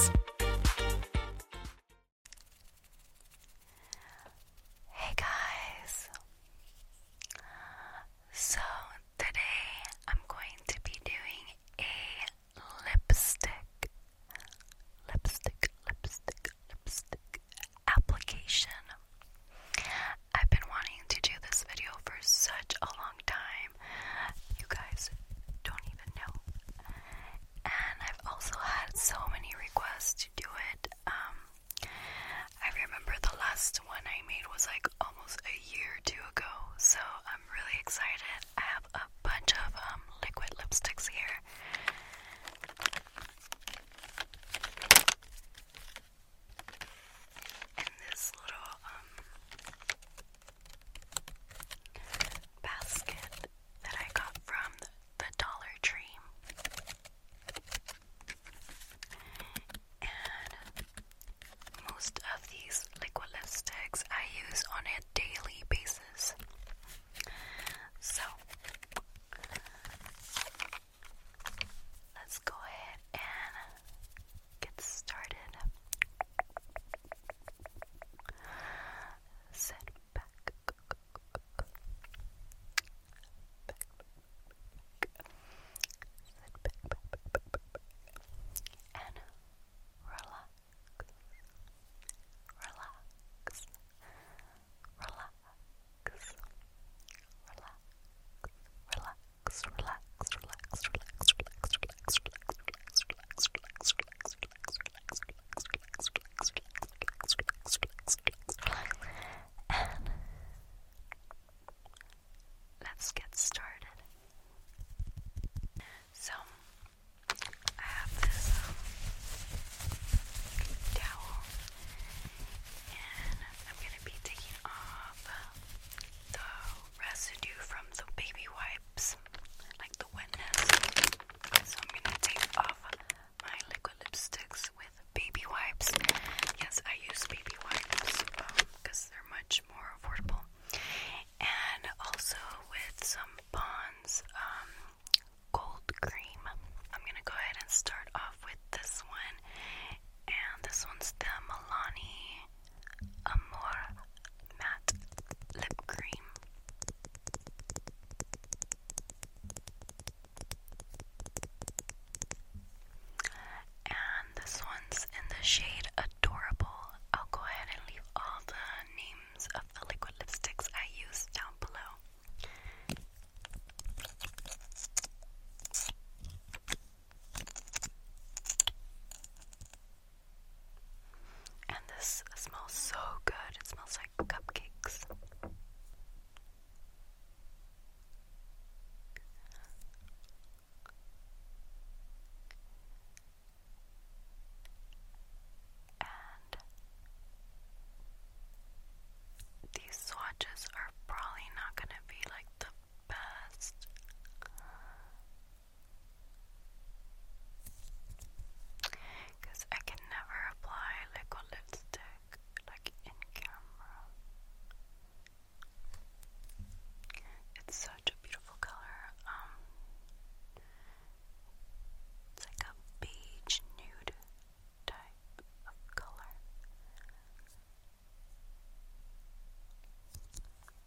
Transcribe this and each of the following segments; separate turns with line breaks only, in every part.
Hey
guys. So today I'm going to be doing a lipstick lipstick lipstick lipstick application. I've been wanting to do this video for such a long time you guys don't even know. And I've also had so many requests to do it. Um, I remember the last one I made was like almost a year or two ago, so I'm really excited. I have a bunch of um, liquid lipsticks here. And this little um basket that I got from the Dollar Tree. And most of these liquid lipsticks I use on a daily basis. So let's go ahead and get started Sit back. Back, back, back, back, and relax, relax, relax, relax, relax, relax, relax, relax, relax, relax, relax, relax, relax, let's get started. So, I have this um, towel, and I'm gonna be taking off the residue from the baby wipes, like the wetness. So I'm gonna take off my liquid lipsticks with baby wipes. Yes, I use baby wipes because um, they're much more affordable. And also with some Bonds um, Gold Cream. I'm gonna go ahead and start off with this one. And this one's the Milani a more matte lip cream. And this one's in the shade Adorable. I'll go ahead and leave all the names of the liquid lipsticks I use down below. And this smells so good. It smells like cupcakes. And these swatches are probably not going to be like the best. Because I can never apply liquid lipstick like in camera. It's such a beautiful color. Um, it's like a beige nude type of color.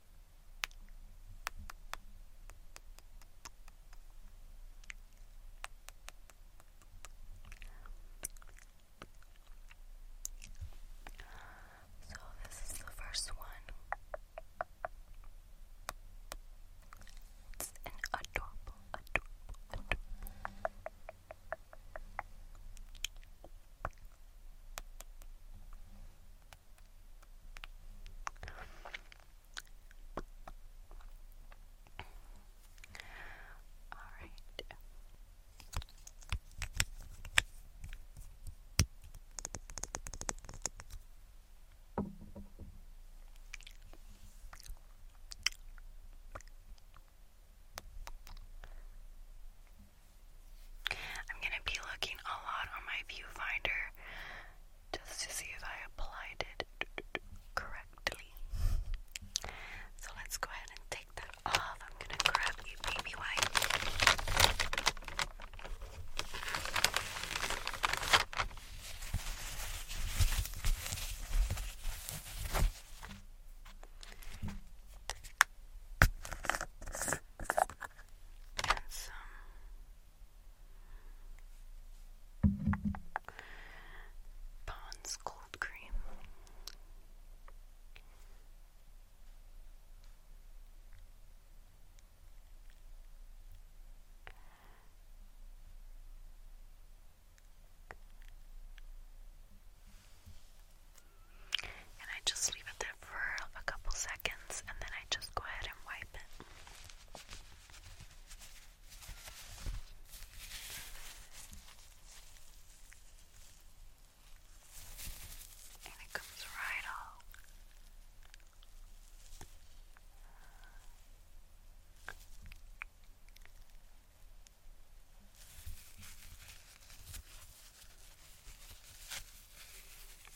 So, this is the first one. It's an adorable, adorable, adorable. All right. I'm going to be looking a lot on my viewfinder just to see if I applied it correctly. So let's go ahead and take that off. I'm gonna grab a baby wipe. And Pond's cold cream. And I just leave it there for a couple seconds and then I just go ahead and wipe it. And it comes right off.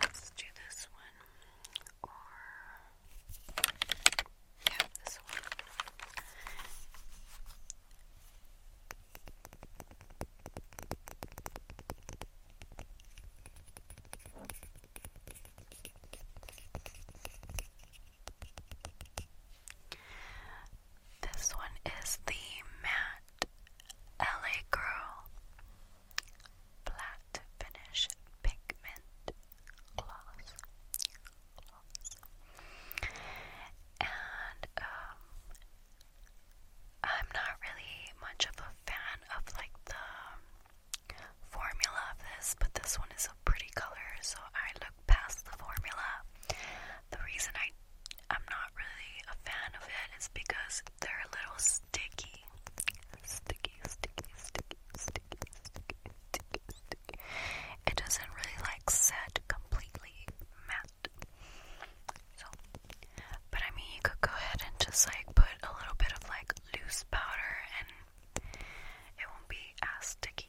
Let's do this one or yeah, this one. This one is the matte LA Girl, Flat Finish Pigment Gloss, gloss. and um, I'm not really much of a fan of like the formula of this, but this one is a pretty color, so I look past the formula. The reason I I'm not really a fan of it is because they're a little sticky. Sticky, sticky, sticky, sticky, sticky, sticky, sticky. It doesn't really like set completely matte. So, but I mean, you could go ahead and just like put a little bit of like loose powder and it won't be as sticky.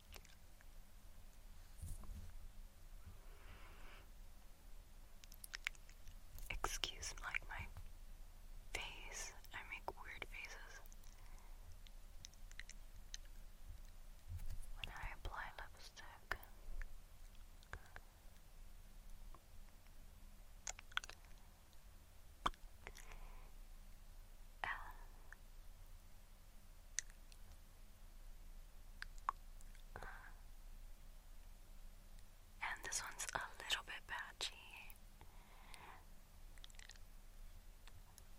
Excuse like my face. I make weird faces. When I apply lipstick, and this one's a little bit patchy,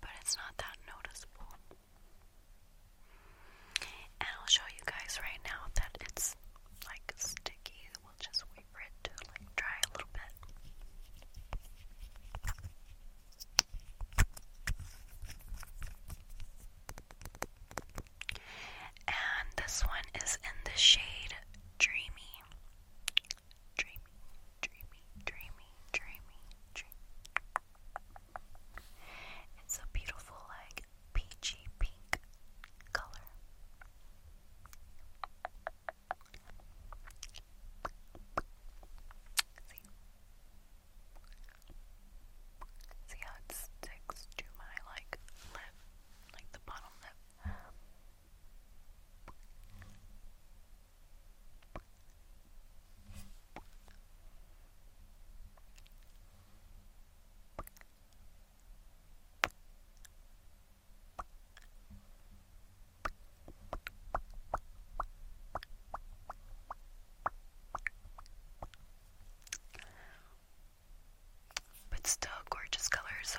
but it's not that noticeable. And I'll show you guys right now that it's like sticky. We'll just wait for it to like dry a little bit. And this one is in the shade Dreamy. Dreamy, dreamy, dreamy, dreamy, dreamy. It's a beautiful, like, peachy pink color. See how it sticks to my like lip, like the bottom lip. But still gorgeous color, so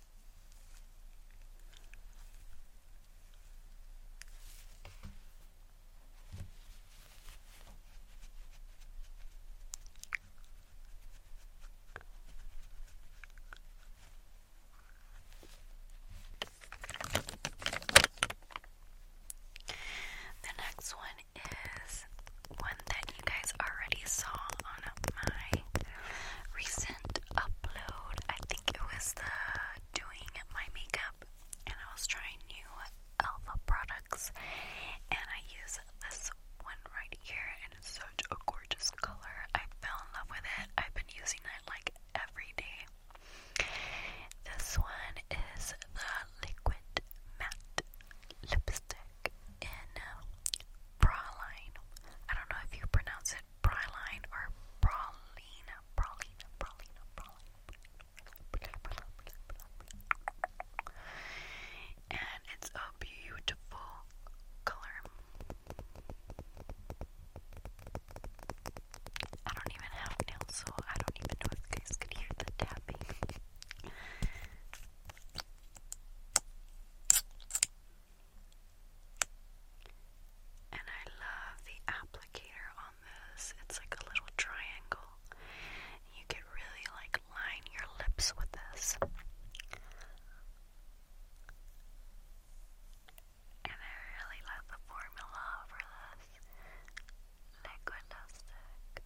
The next one is when they you guys already saw on my recent upload. I think it was the doing my makeup, and I was trying new Alpha products, and I use this one right here, and it's such a gorgeous color. I fell in love with it. I've been using it like every day. This one is the liquid matte lipstick back in uh, Praline. I don't know if you pronounce it Praline or Pralina. Pralina, Pralina, Pralina. And it's a beautiful color. I don't even have nails, so I don't even know if guys could hear the tapping. And I love the applicator on this. It's like a little triangle. You could really like line your lips with this. And I really love the formula for this liquid lipstick.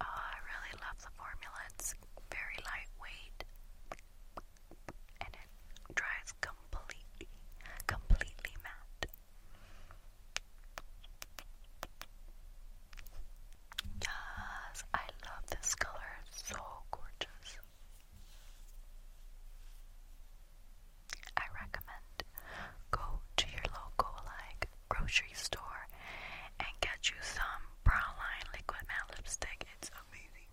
Oh, I really love the formula. It's very lightweight and it dries completely, completely matte. Yes, I love this color. so gorgeous. I recommend go to your local like grocery store and get you some brown line liquid matte lipstick. It's amazing.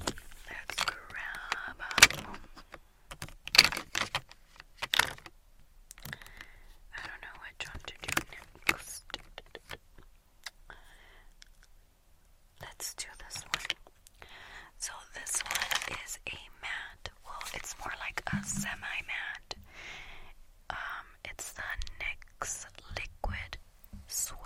Let's grab. Um, I don't know which one to do next. Let's do this one. So, this one is a mat. Well, it's more like a semi mat. Um, it's the NYX Liquid suede.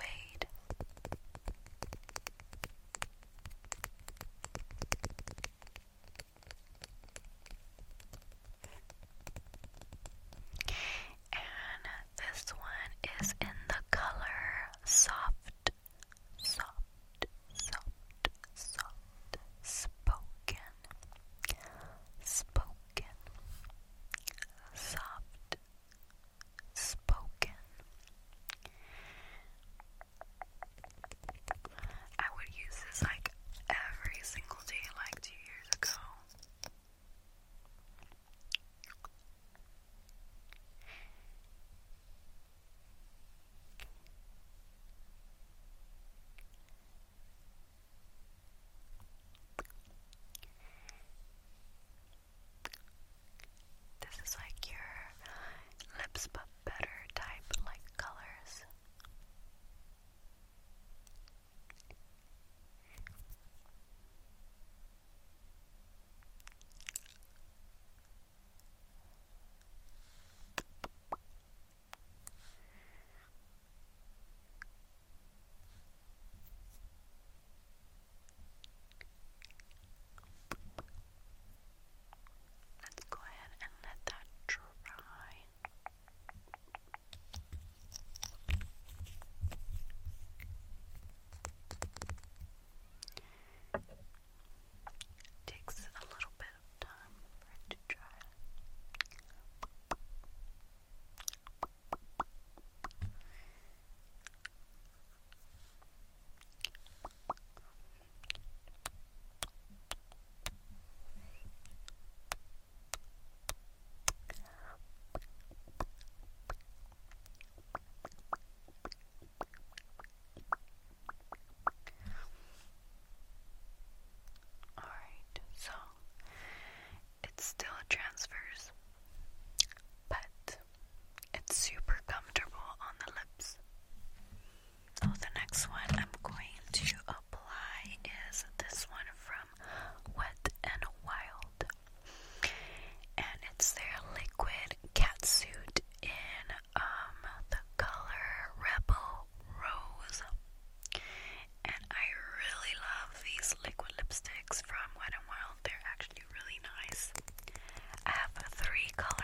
And this one is in the color soft, soft, soft, soft, spoken, spoken, soft, spoken. I would use this like every single day, like two years ago. This is like your lips but better type like colors. Let's go ahead and let that dry. Takes a little bit of time for it to dry. Alright, so it still transfers but it's super comfortable on the lips. So the next one I'm going to apply is this one from Wet and Wild. And it's their liquid catsuit in um, the color Rebel Rose. And I really love these liquid lipsticks from Wet n Wild. They're actually really nice. I have three colors.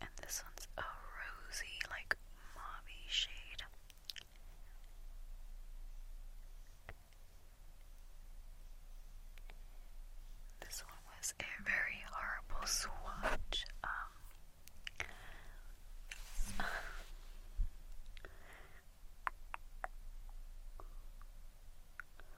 And this one's a rosy, like mauvey shade. This one was a very horrible swatch. Um,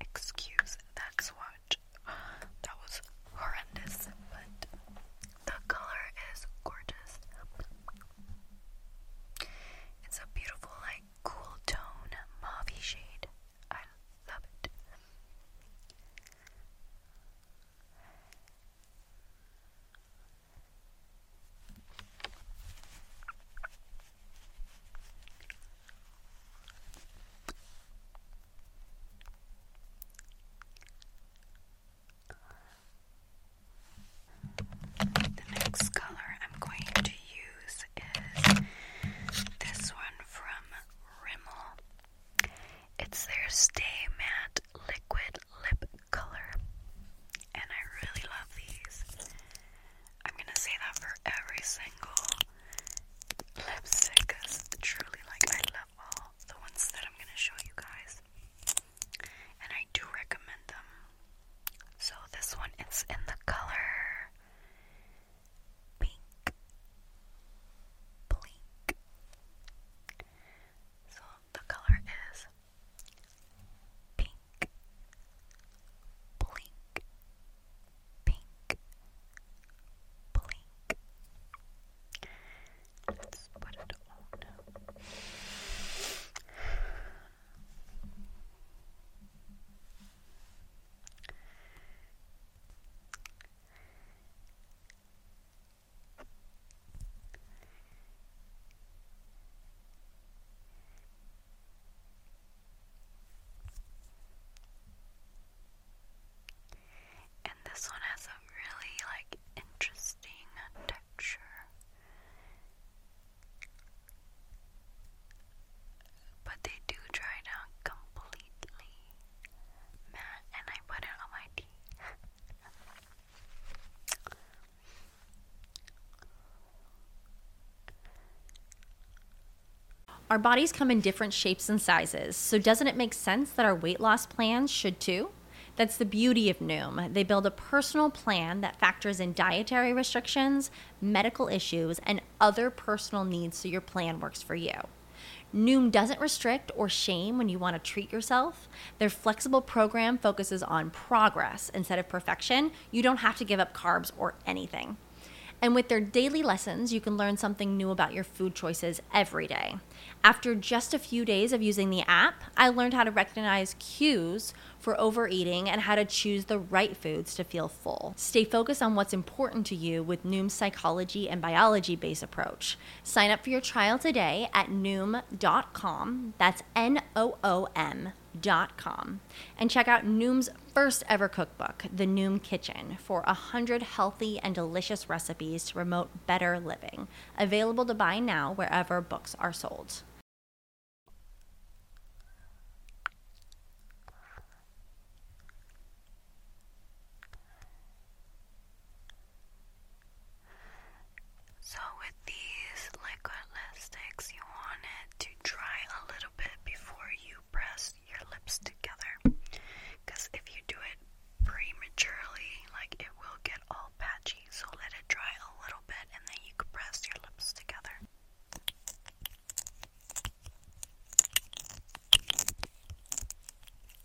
Excuse that swatch. That was horrendous, but the color is gorgeous. It's a beautiful, like, cool tone, mauvey shade. I love it. The next color I'm going to use is this one from Rimmel. It's their Stay Matte Liquid Lip Color. And I really love these. I'm gonna say that for every single lipstick because truly, like, I love all the ones that I'm gonna show you guys. And I do recommend them. So this one, is in the color pink, blink. So the color is pink, blink, pink, blink. Let's put it on. And this one has a really like interesting texture. But they do dry down completely, matte, and I
put it on my teeth. Our bodies come in different shapes and sizes, so doesn't it make sense that our weight loss plans should too? That's the beauty of Noom. They build a personal plan that factors in dietary restrictions, medical issues, and other personal needs so your plan works for you. Noom doesn't restrict or shame when you want to treat yourself. Their flexible program focuses on progress instead of perfection. You don't have to give up carbs or anything. And with their daily lessons, you can learn something new about your food choices every day. After just a few days of using the app, I learned how to recognize cues for overeating and how to choose the right foods to feel full. Stay focused on what's important to you with Noom's psychology and biology based approach. Sign up for your trial today at noom.com. That's N O O M. Dot com, and check out Noom's first ever cookbook, The Noom Kitchen, for 100 healthy and delicious recipes to promote better living. Available to buy now wherever books are sold.
So, with these liquid lipsticks, you want it to dry a little bit before you press your lips together. Because if you do it prematurely, like it will get all patchy. So, let it dry a little bit and then you can press your lips together.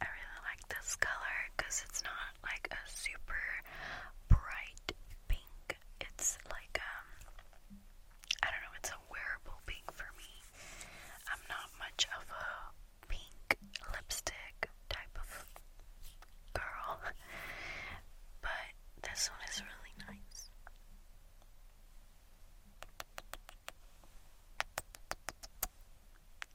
I really like this color because it's not like a super bright pink. It's like um, I don't know, it's a wearable pink for me. I'm not much of a pink lipstick type of girl. But this one is really nice.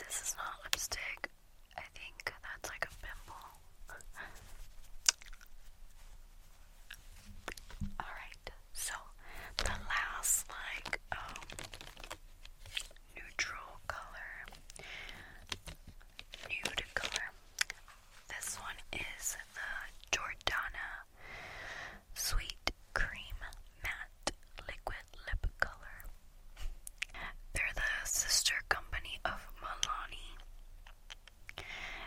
This is not lipstick. I think that's like a pimple. Alright, so the last like um, neutral color nude color. This one is the Jordana Sweet Cream Matte Liquid Lip Color. They're the sister company of Milani.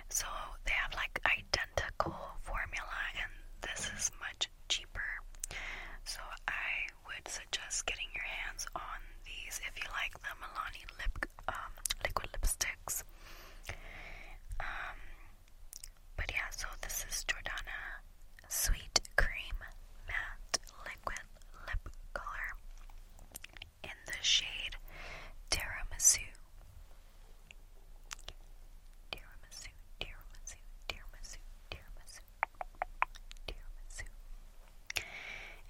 So they have like identical formula and this is much cheaper. So I would suggest getting your hands on these if you like the Milani lip um, liquid lipsticks. Um, but yeah, so this is Jordana Sweet Cream Matte liquid lip color in the shade Tiramisu. Tiramisu, tiramisu, tiramisu, tiramisu, tiramisu.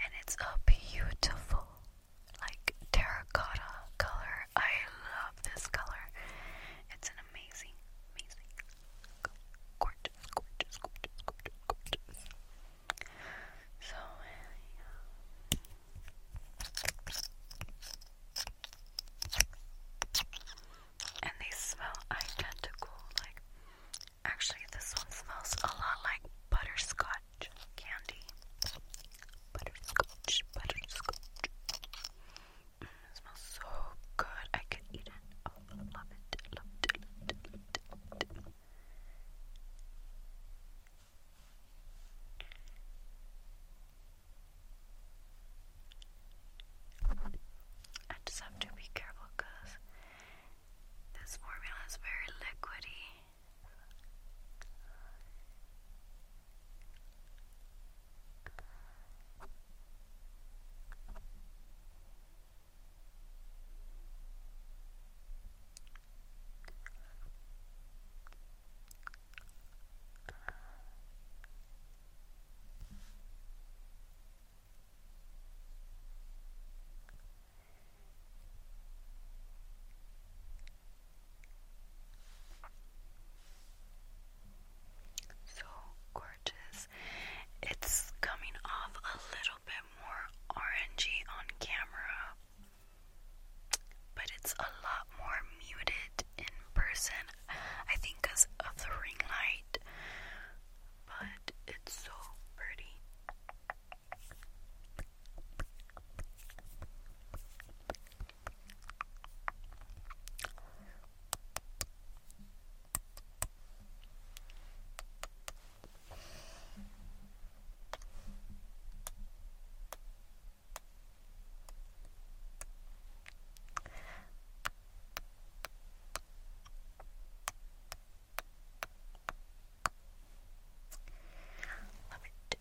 And it's a beautiful, like, terracotta color. I love this color. It's an amazing, amazing, gorgeous, gorgeous, gorgeous, gorgeous, gorgeous so, And they smell identical. Like, actually, this one smells a lot like butterscotch candy. Butterscotch, butterscotch. Mm, smells so good. I could eat it. Oh, love it. Love it. I just have to be careful because this formula is very liquidy. So gorgeous. It's coming off a little little bit more orangey on camera, but it's a lot more muted in person. I think because of the ring light, but it's so pretty.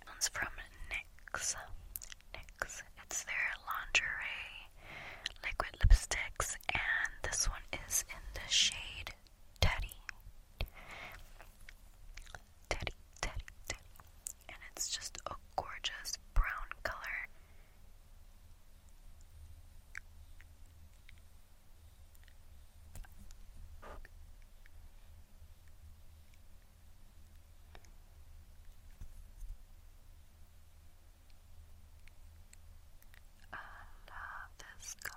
One's from NYX. It's their lingerie liquid lipsticks, and this one is in the shade Teddy. Teddy, Teddy, Teddy. And it's just a gorgeous brown color. I love this color.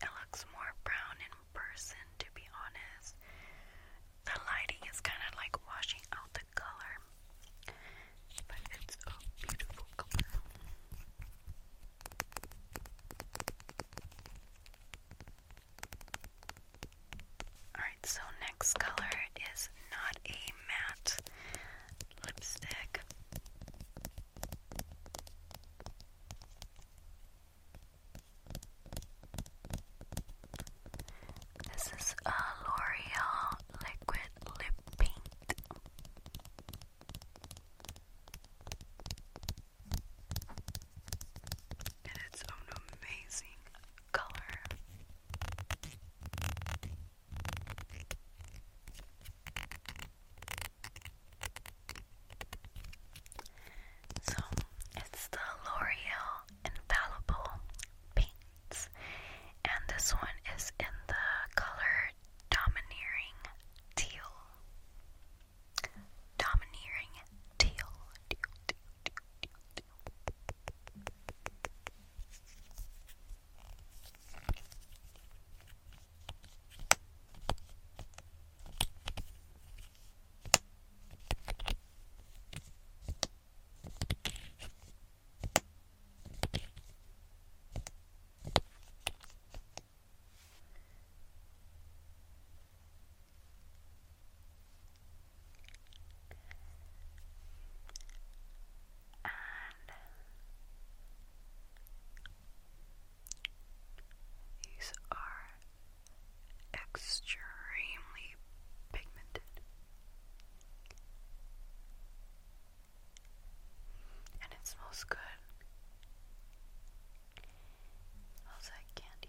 It looks more brown in person, to be honest. The lighting is kind of like washing out the color, but it's a beautiful color. Alright, so next color is not a matte lipstick. This is a L'Oreal liquid lip paint. And it's an amazing color. So it's the L'Oreal Infallible Paints, and this one is in the color Domineering Teal. Domineering teal. And these are extremely pigmented. And it smells good. It candy.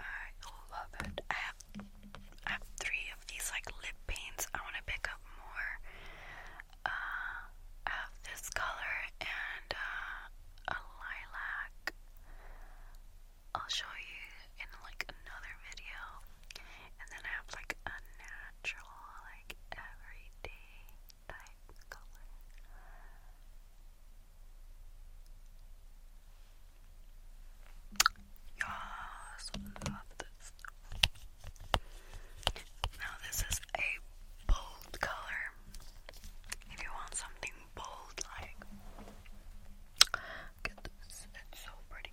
I love it. I have I have three of these like lip paints. I want to pick up more. Uh, I have this color and uh, a lilac. I'll show you in like another video. And then I have like a natural, like everyday Yes, this. Now this is a bold color. If you want something bold, like get this. It's so pretty.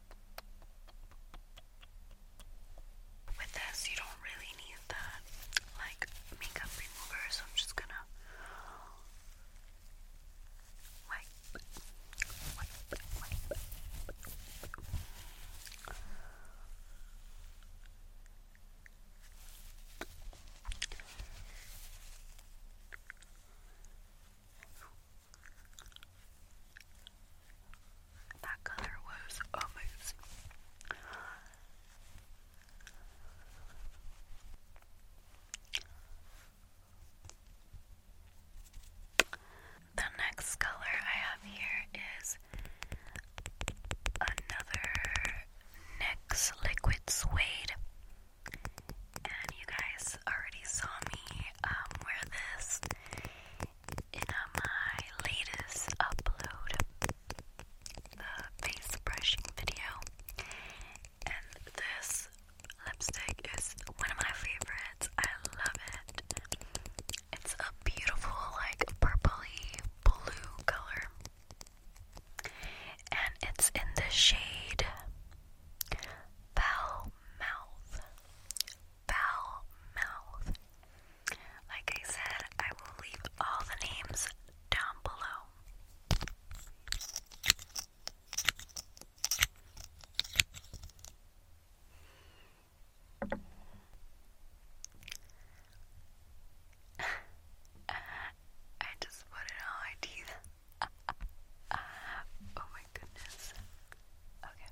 With this, you don't really need that like makeup remover, so I'm just gonna that color was amazing. The next color I have here is another NYX Liquid Suede. And you guys already saw me um, wear this in my latest upload, the uh, face brushing video. And this lipstick is one of my favorites. I love it. It's a beautiful, like, purpley blue color. And it's in the shade Foul Mouth foul mouth. Like I said, I will leave all the names down below. I just put it on my teeth. oh my goodness. Okay.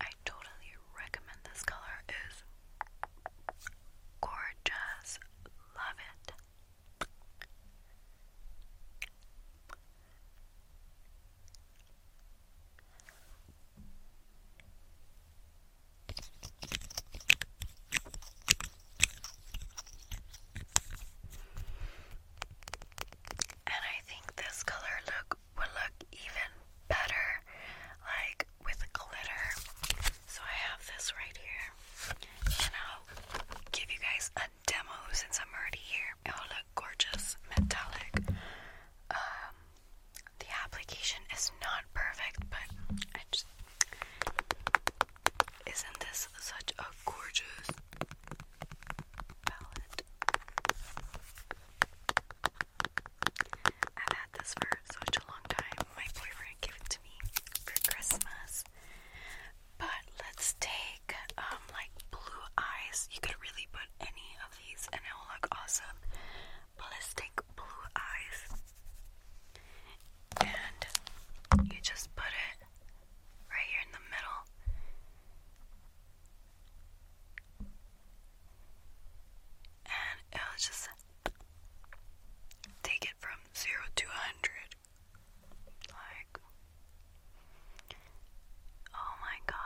I totally recommend this color is gorgeous. Love it. And I think this color look would look even better like with glitter. So I have this right here. And I'll give you guys a demo since I'm already here. It will look gorgeous, metallic, um, the application is not perfect, but I just. Isn't this such a gorgeous palette? I've had this for such a long time. My boyfriend gave it to me for Christmas. But let's take um like blue eyes. You could really put any of these and it will look awesome ballistic blue eyes. And you just put it right here in the middle. And it'll just take it from 0 to 100. Like, oh my god.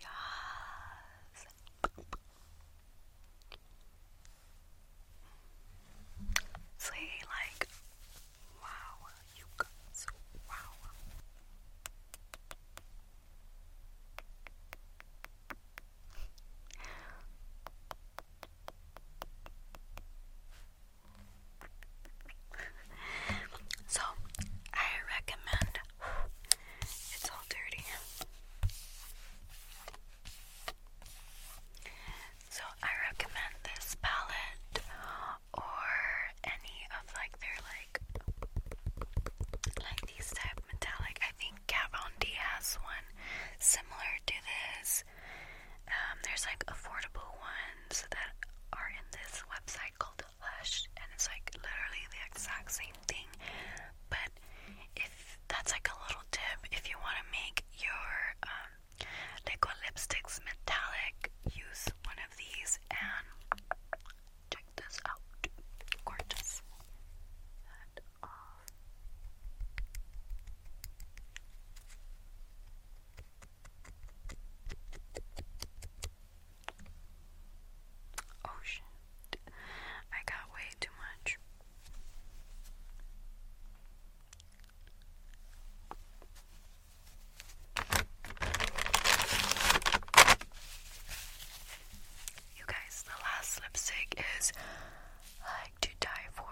Yes. See, like, wow, you guys, wow so I recommend it's all dirty. So I recommend this palette or any of like their like like these type metallic. I think Kat Von D has one similar to this. Um, there's like affordable ones that are in this website called Lush, and it's like literally the exact same thing. But if that's like a little tip, if you want to make your um, liquid lipsticks metallic, use one of these and check this out. Gorgeous. And off. Oh shit. I got way too much. You guys, the last lipstick is like to die for.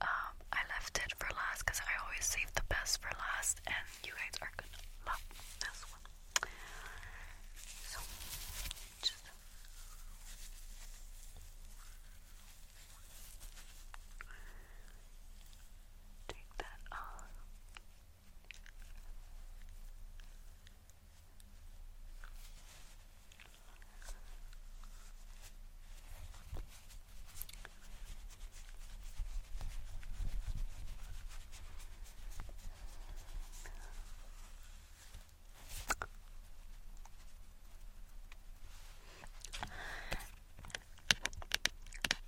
Um, I left it for last because I always save the best for last list, and you guys are gonna love this one. So, just take that off.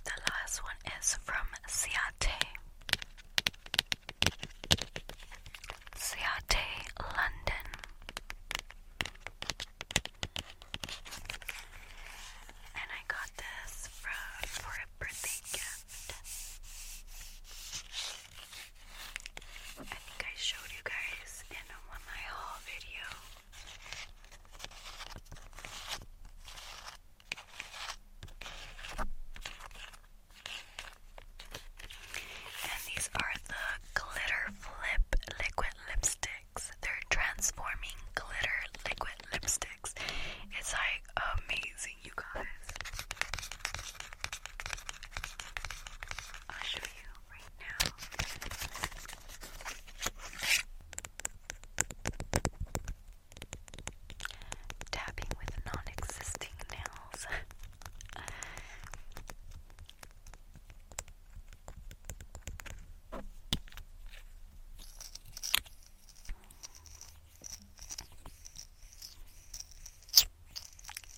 The last one is from Ciate. Ciate, London. And I got this from birthday gift. I think I showed you guys in one of my haul video. And these are the Glitter Flip Liquid Lipsticks. They're transforming glitter liquid lipsticks. It's like amazing, you guys. I'll right now. Tapping with non existing nails.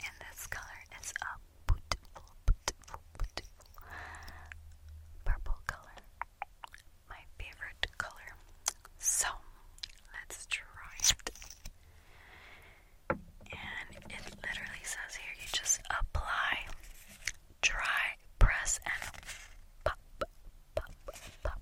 And this color is a beautiful, beautiful, beautiful purple color. My favorite color. So let's try it. And it literally says here you just apply, dry, press, and pop, pop, pop, pop,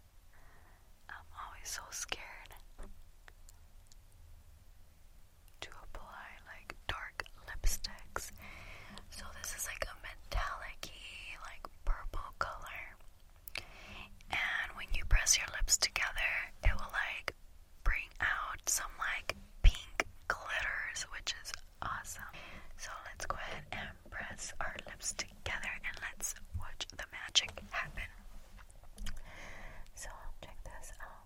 I'm always so scared to apply like dark lipsticks. So this is like a metallic like purple color. And when you press your lips together, it will like bring out some like pink glitters, which is awesome. So let's go ahead and press our lips together and let's watch the magic happen. So check this out.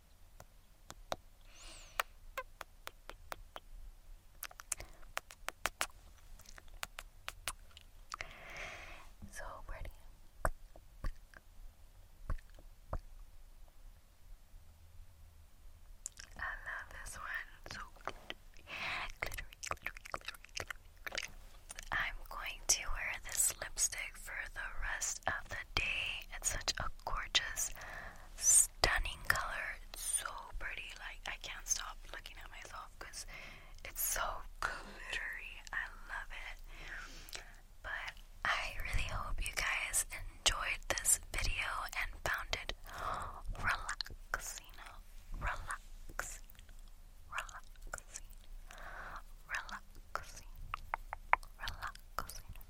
So pretty. I love this one. So glittery, glittery, glittery, glittery. I'm going to wear this lipstick for the rest of the day. It's such a gorgeous, stunning color. It's so pretty. Like, I can't stop looking at myself because it's so glittery. I love it. But I really hope you guys enjoyed this video and found it relaxing, relaxing, relaxing, relaxing, relaxing.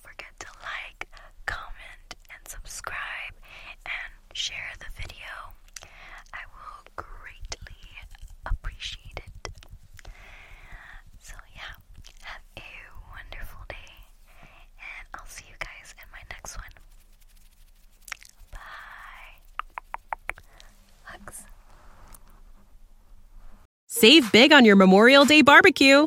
forget to like, comment, and subscribe and share the video. I will greatly appreciate it.
So, yeah, have a wonderful day, and I'll see you guys in my next one. Bye. Hugs. Save big on your Memorial Day barbecue